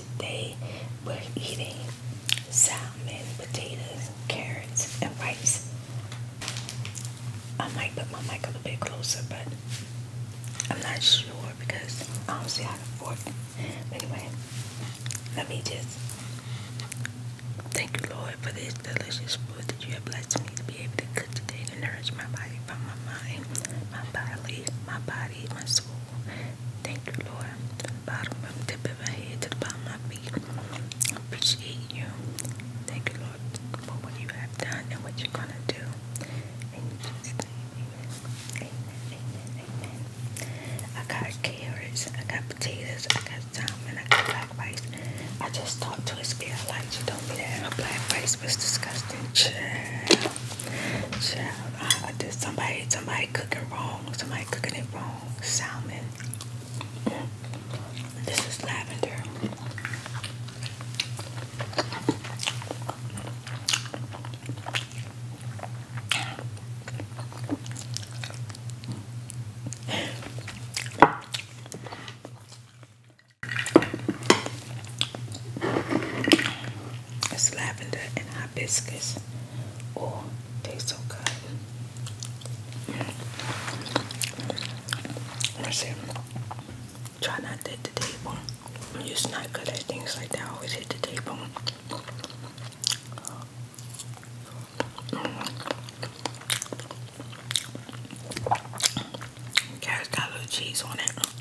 Today we're eating salmon, potatoes, carrots, and rice. I might put my mic a little bit closer, but I'm not sure because I don't see how to fork. Anyway, let me just thank you, Lord, for this delicious food that you have blessed me to be able to cook today to nourish my body, my mind, my body, my body, my soul, Thank you, Lord, from the bottom of the tip of my head to the bottom of my feet. I appreciate you. Thank you, Lord, for what you have done and what you're going to do. In Jesus' name, amen. Amen, amen, amen. I got carrots, I got potatoes, I got salmon, I got black rice. I just talked to a spirit like you told me that. Black rice was disgusting. Child. Child, uh, I, I somebody, somebody cooking wrong. Somebody cooking it wrong. Salmon. This is lavender. It's lavender and hibiscus. Oh, tastes so good. I mm. Try not to hit the table. I'm just not good at things like that. always hit the table. Mm. Carrots got a little cheese on it.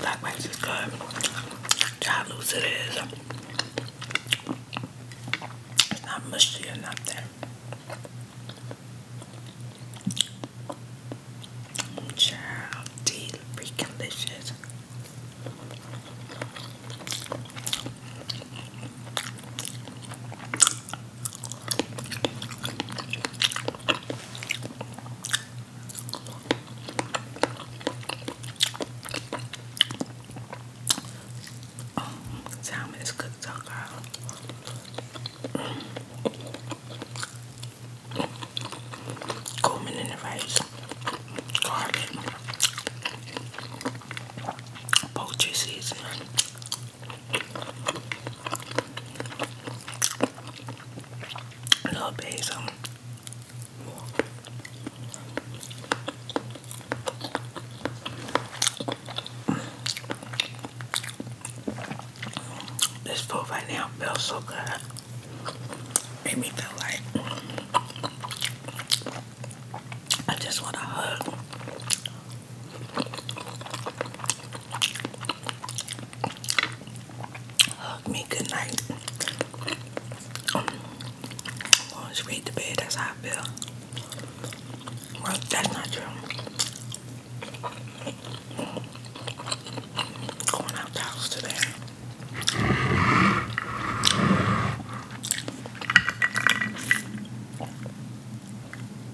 Black rice is good. Child loose it is. It's not mushy or nothing. Child, freaking delicious time to talk out. Coleman in the rice, garlic, poultry seasoning, a little basil. This food right now feels so good. Made me feel like I just want to hug Hug me good night. going um, straight to bed. That's how I feel. Well, that's not true. Going out the house today.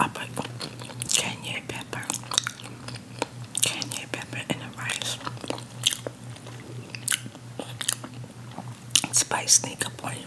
I put Kenya pepper, Kenya pepper in the rice. Spice sneak up on you.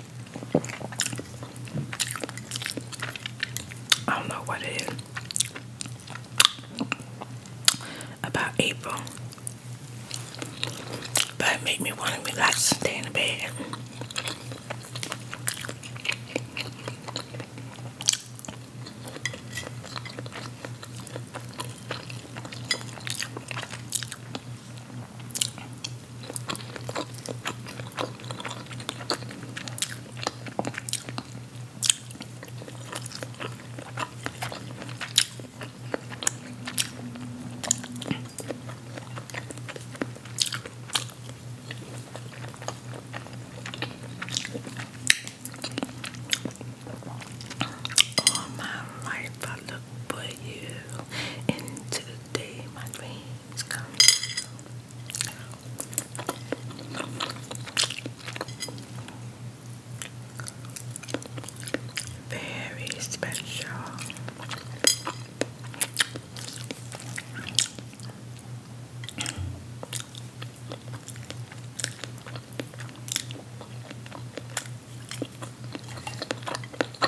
I don't know what it is. About April, but it made me want to relax and stay in the bed. All my life I look for you, and today my dreams come true. Very special.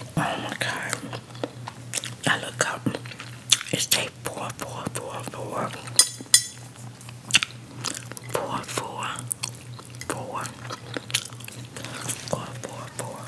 Oh my god. I look up. It's tape four, four, four, four. Four, four, four. Four, four, four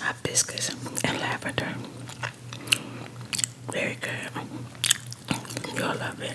hibiscus and lavender. Very good. you all love it.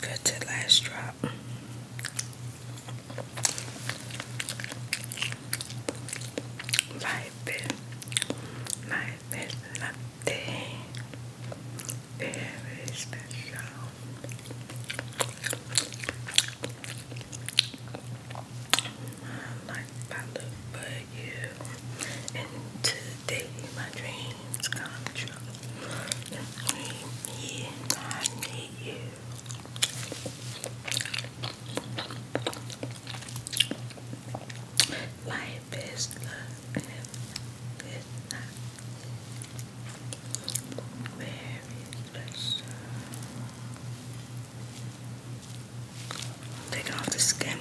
Good to last drop. Life is, life is nothing very special like I look for you, and today my dreams come true. The dream, yeah, I need you. Life is love, it's not. Very special. Taking off the skin.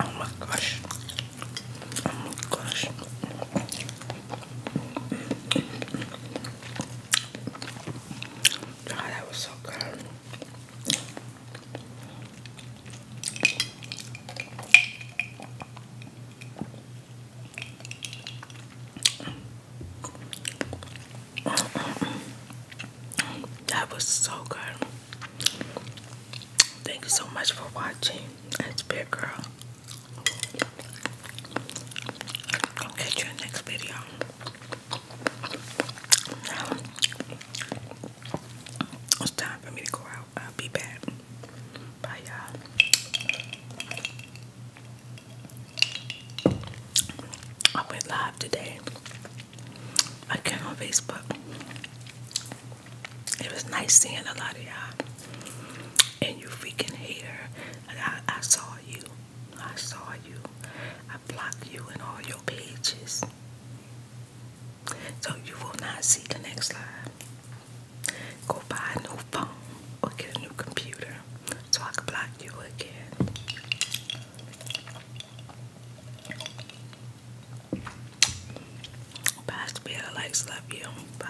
Oh my gosh. Oh my gosh. God, that was so good. That was so good. Thank you so much for watching. That's Big Girl. I'll catch you next video. it's time for me to go out. I'll be back. Bye, y'all. I went live today. I came on Facebook. It was nice seeing a lot of y'all. And you freaking hater. I, I saw you. I saw you. I blocked you in all your pages so you will not see the next slide. Go buy a new phone or get a new computer so I can block you again. Bye, Spill. Likes, love you. Bye.